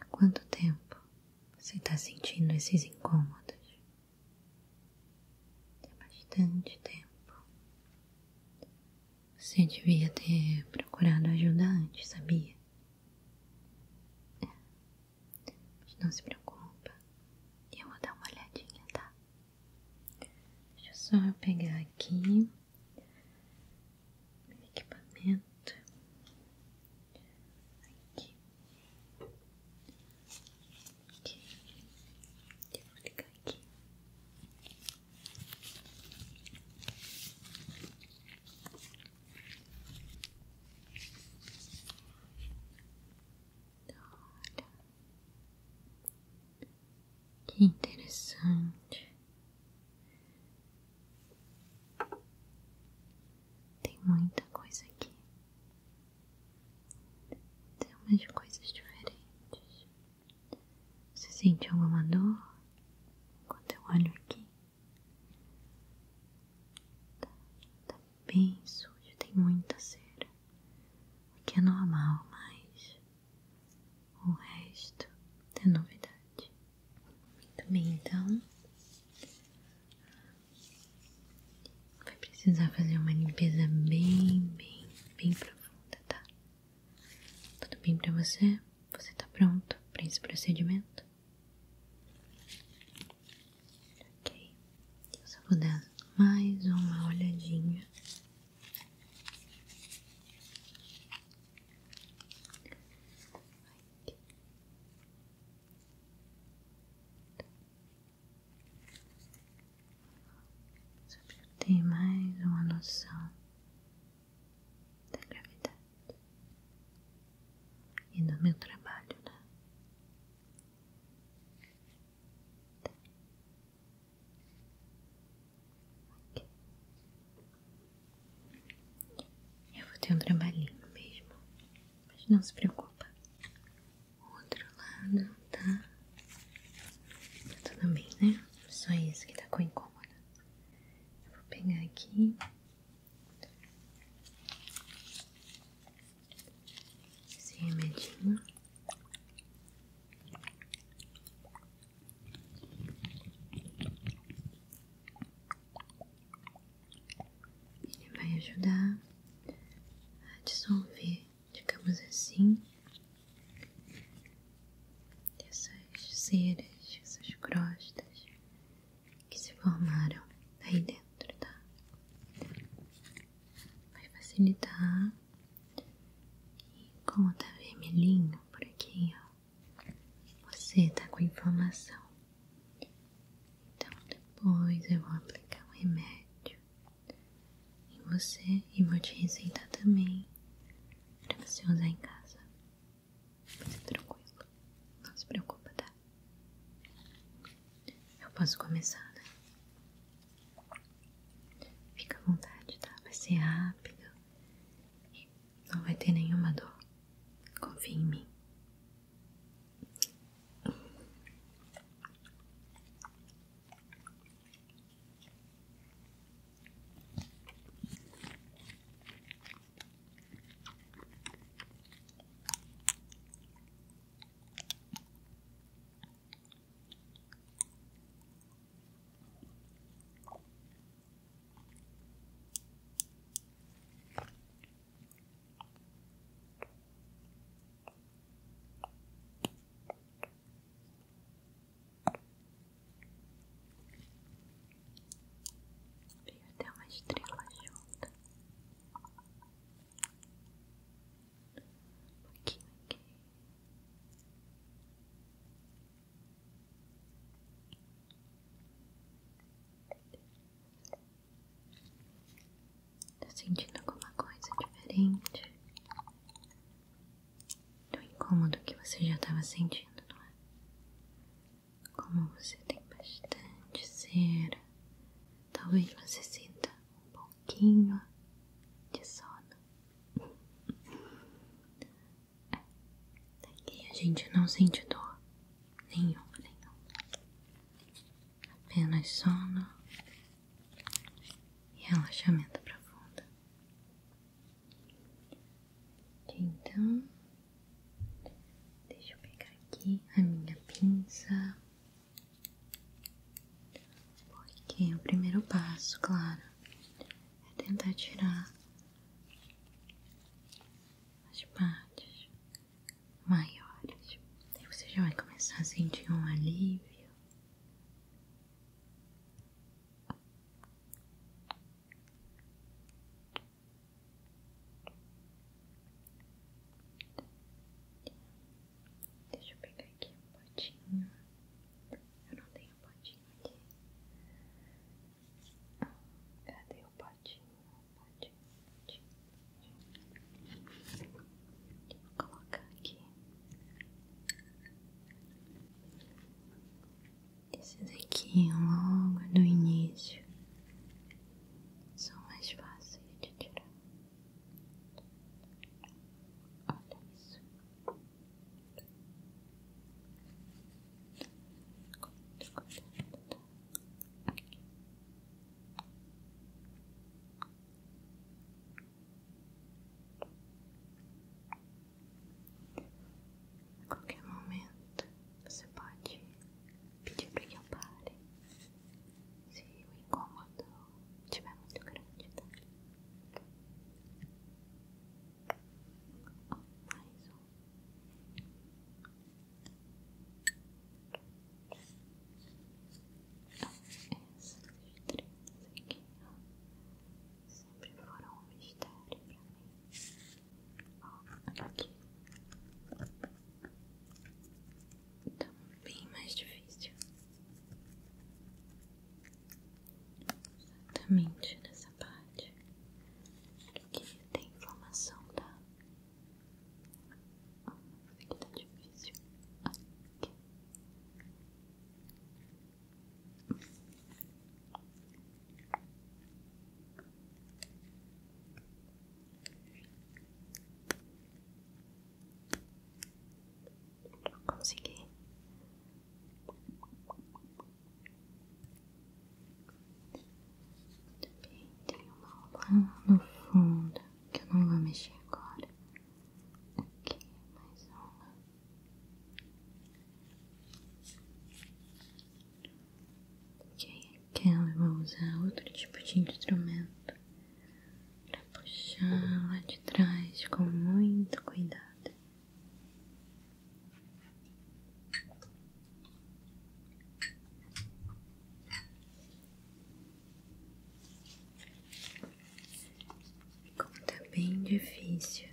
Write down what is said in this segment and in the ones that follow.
Há quanto tempo você está sentindo esses incômodos? Há é bastante tempo. Você devia ter procurado ajuda antes, sabia? É. Mas não se preocupa, eu vou dar uma olhadinha, tá? Deixa só pegar aqui o equipamento. Aqui. Aqui. Eu vou ligar Aqui. Olha. Que interessante. Tem muita coisa aqui. Tem umas coisas diferentes. Você sente alguma dor quando eu olho aqui? Tá, tá bem sujo, tem muita cera, o que é normal, mas o resto é novidade. Muito bem, então vai precisar fazer uma limpeza bem, bem, bem profunda, tá? Tudo bem pra você? Você tá pronto pra esse procedimento? Ok. Eu só vou dar mais uma olhadinha. Aqui. Só pra eu ter mais uma noção da gravidade e do meu trabalho, né? Okay. Eu vou ter um trabalhinho mesmo, mas não se preocupa. O outro lado tá. Tá tudo bem, né? Só isso que tá com incômodo. Eu vou pegar aqui esse remedinho. Ele vai ajudar a dissolver, digamos assim, essas ceras, essas crostas que se formaram aí dentro, tá? vai facilitar. E como tá vermelhinho por aqui, ó, você tá com inflamação. Então depois eu vou aplicar um remédio em você e vou te receitar também para você usar em casa. Fica é tranquilo, não se preocupa, tá? Eu posso começar, né? Fica à vontade, tá? Vai ser rápido e não vai ter nenhuma dor. Confia em mim. Eu tenho uma estrela junto. Um pouquinho aqui. Tá sentindo alguma coisa diferente? Do incômodo que você já tava sentindo, não é? Como você tem bastante cera Talvez você sinta um pouquinho de sono. É, aqui a gente não sente dor nenhuma, nenhuma. Apenas sono e relaxamento profundo. Então, deixa eu pegar aqui a minha pinça. Porque o primeiro passo, claro, é tentar tirar as partes maiores. Aí você já vai começar a sentir um alívio. Deixa eu pegar aqui um potinho. Eu não tenho potinho aqui. Cadê o potinho? Potinho, potinho. Vou colocar aqui. Esse daqui é logo do início são mais fáceis de tirar. Olha isso. Quanto, A qualquer momento você pode pedir para que eu pare. Se o incômodo estiver muito grande, tá? Oh, mais um. Então, essas estrelas aqui, ó, sempre foram um mistério pra mim. Ó, aqui. Então, bem mais difícil. Exatamente nessa parte que tem informação tá? Aqui tá difícil. Consegui. Também tem uma lá no fundo que eu não vou mexer agora. Aqui, mais uma. Ok, é aquela eu vou usar outro tipo de instrumento para puxar lá de trás com muito cuidado. Como tá bem difícil.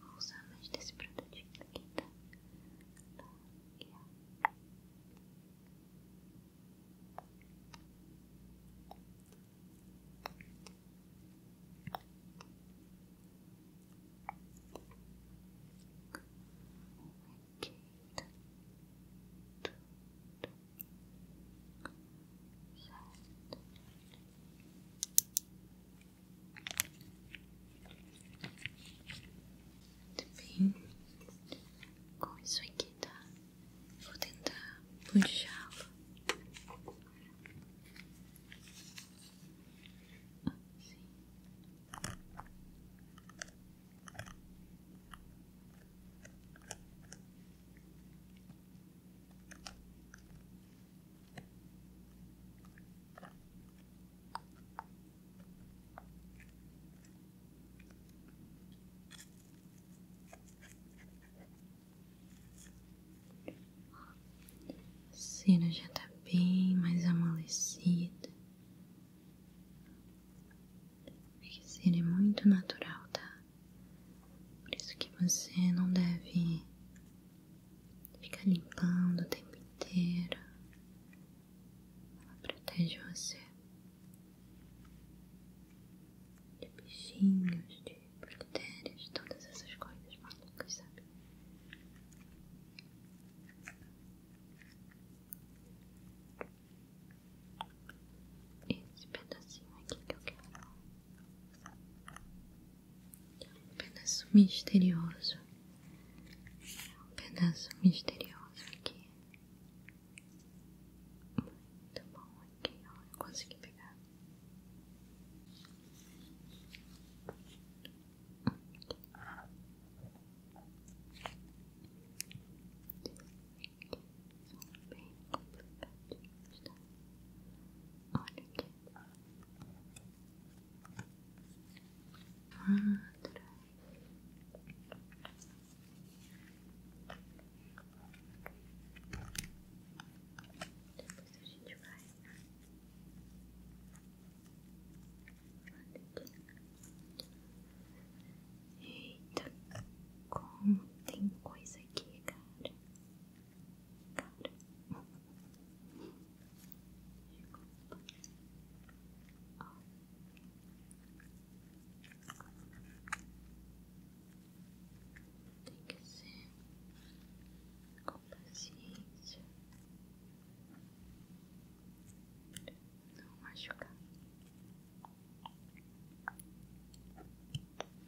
Vou usar mais desse produtinho aqui, tá? Bem, com isso aqui, tá? Vou tentar puxá-lo. A já tá bem mais amolecida. Porque é cera é muito natural, tá? Por isso que você não deve ficar limpando o tempo inteiro. Ela protege você de bichinhos, de bactérias, todas essas coisas malucas, sabe? Esse pedacinho aqui que eu quero um pedaço misterioso, um pedaço misterioso aqui. Muito bom aqui, ó, eu consegui pegar. Bem complicadinhos, tá? Olha aqui. Quadra. Depois a gente vai. olha aqui Eita, como tem coisa aqui, cara. Tem que ser com paciência, não machucar.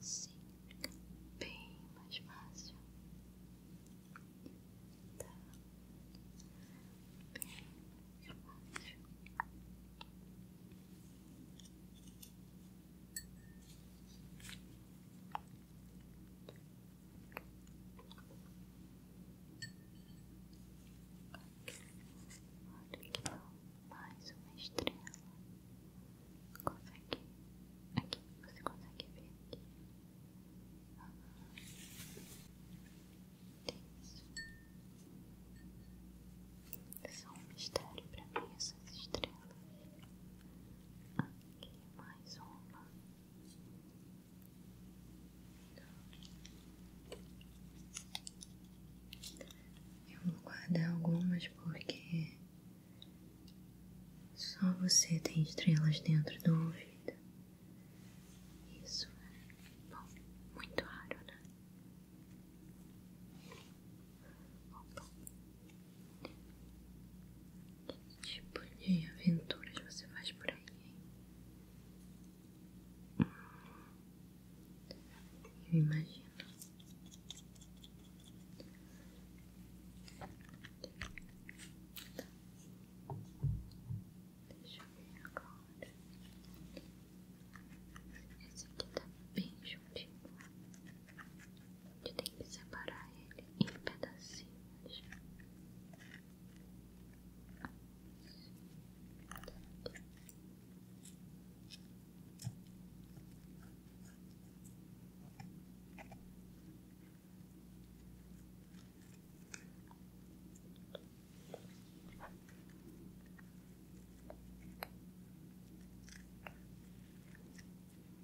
Assim bem mais fácil. Olha que mais uma estrela. Consegue? Aqui, você consegue ver aqui? Ah, isso. São um mistério para mim essas estrelas. Ah, aqui mais uma. Eu vou guardar algumas porque só você tem estrelas dentro do ouvido. Isso é bom, muito raro, né? Que tipo de aventuras você faz por aí? Hum, eu imagino. Deixa eu ver agora. Esse aqui tá bem juntinho. A gente tem que separar ele em pedacinhos.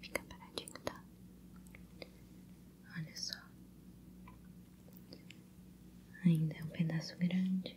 Fica paradinho, tá? Olha só. Ainda é um pedaço grande.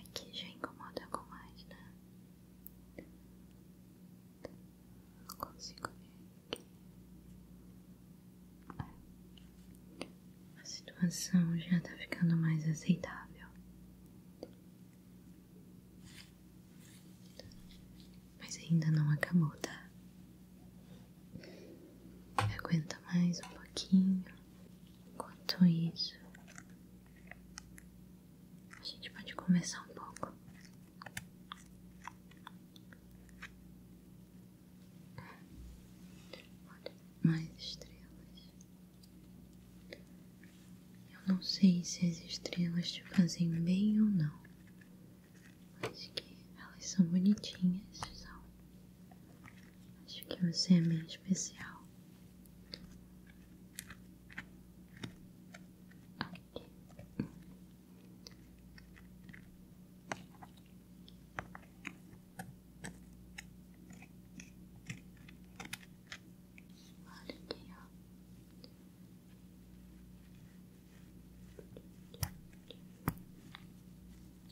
Aqui já incomoda com mais, né? Não consigo ver aqui. A situação já tá ficando mais aceitável. Mas ainda não acabou, tá? Aguenta mais um pouquinho. Enquanto isso, a gente pode começar um pouco. Olha, mais estrelas. Eu não sei se as estrelas te fazem bem ou não, mas que elas são bonitinhas, Acho que você é meio especial.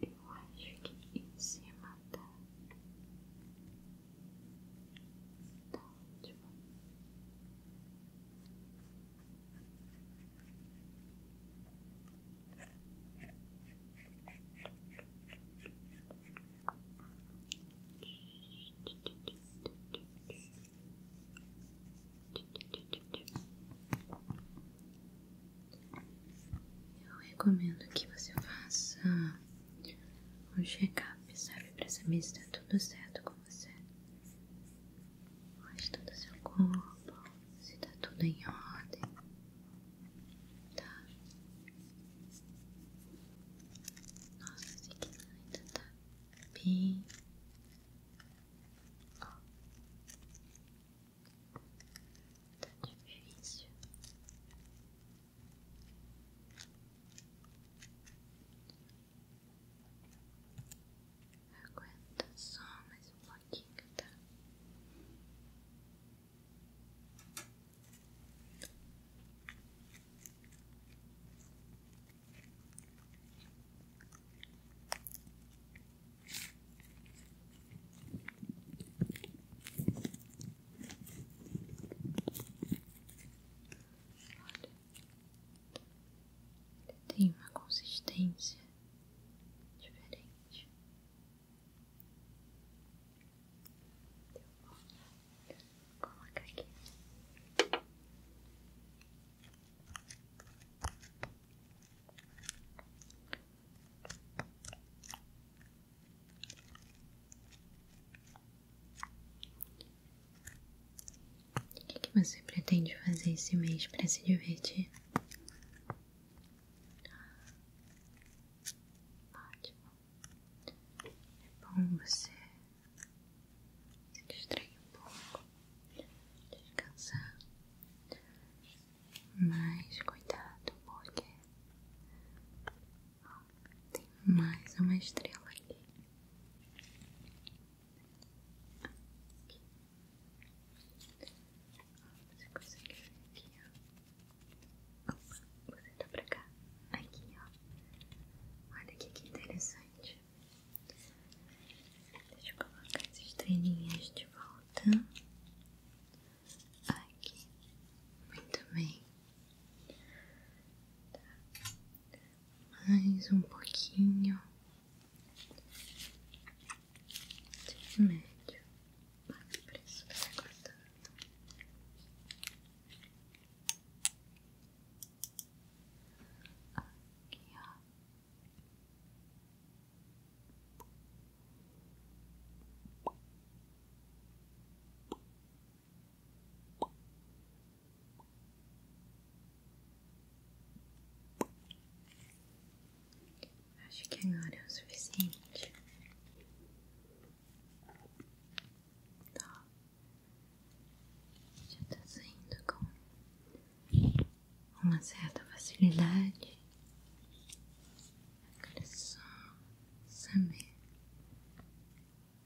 Eu acho que em cima da, da última. Eu recomendo que você faça um check-up, sabe? Pra saber se está tudo certo com você. Faz todo o seu corpo, se tá tudo em ordem, tá? Nossa, esse aqui ainda tá bem. Ó. Tá difícil. Aguenta só mais um pouquinho, tá? Tem uma consistência diferente. Vou colocar aqui. O que, você pretende fazer esse mês para se divertir? Ótimo. É bom você se distrair um pouco, descansar. Mas cuidado, porque tem mais uma estrela aqui. Aqui. Ó, você consegue ver aqui, ó. Opa, você tá pra cá. Aqui, ó. Olha que interessante. Deixa eu colocar as estrelinhas de volta. Aqui. Muito bem. Tá mais um pouquinho de remédio para preço que tá Aqui, Acho que agora é o suficiente. Tá. Já tá saindo com uma certa facilidade. Agora é só saber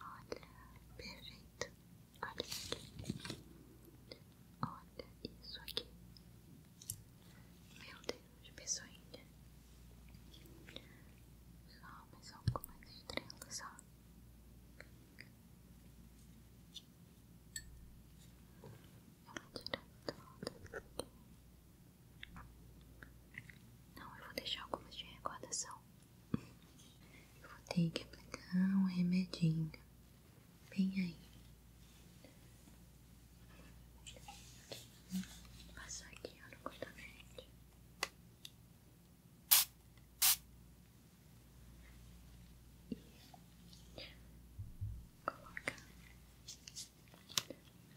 Olha, perfeito. Olha isso aqui. Meu Deus, pessoinha. Só mais algumas estrelas, só. Eu vou tirar todas aqui. Não, eu vou deixar algumas de recordação vou ter que pegar um remedinho bem aí. Vou passar aqui ó, no cotonete. E coloca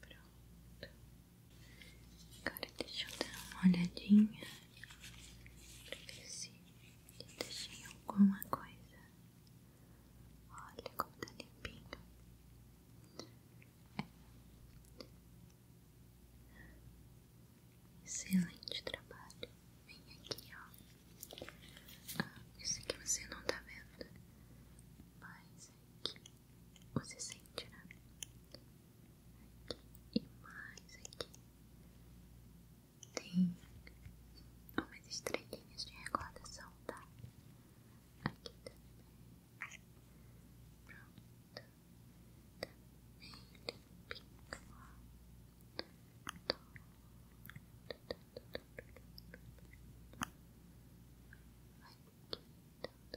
Pronto. Agora deixa eu dar uma olhadinha eu ver se eu deixei alguma coisa. Olha como tá limpinho. Excelente trabalho. Vem aqui, ó. Ah, isso aqui você não tá vendo, mas é aqui você sente, né? Aqui e mais aqui tem umas estrelinhas de recordação, tá? Aqui também. Pronto. Também tá limpinho, ó. Todo, do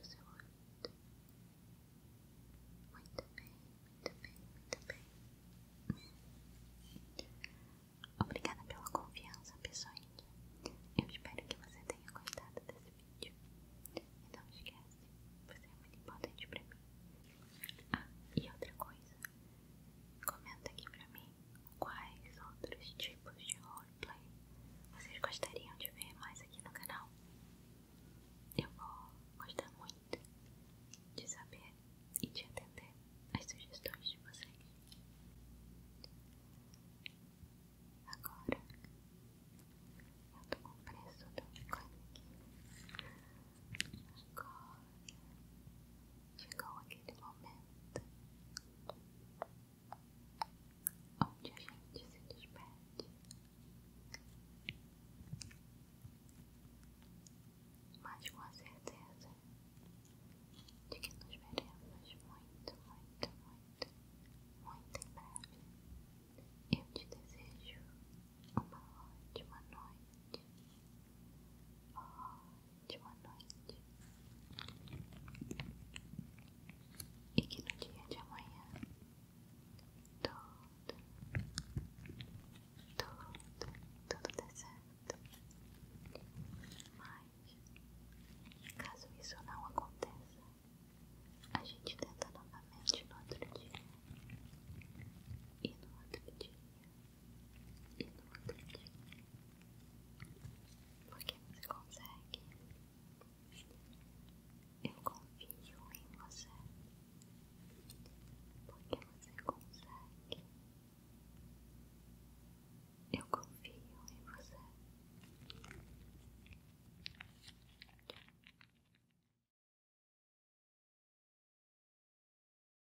seu ouvido. Muito bem, muito bem, muito bem. Obrigada pela confiança, pessoal. Eu espero que você tenha gostado desse vídeo. E não esquece, você é muito importante pra mim. Ah, e outra coisa, Comenta aqui pra mim quais outros tipos de roleplay vocês gostariam de ver mais aqui no canal. Eu vou gostar muito de saber e de atender as sugestões de vocês. Agora eu tô com preço do Agora chegou aquele momento onde a gente se despede, mas com a certeza de que nos veremos muito, muito, muito, muito em breve. Eu te desejo uma ótima noite de uma noite e que no dia de amanhã tudo, tudo, tudo dê certo. Mas caso isso não aconteça, a gente tenta novamente no outro dia e no outro dia e no outro Porque você consegue. Eu confio em você. Porque você consegue. Eu confio em você.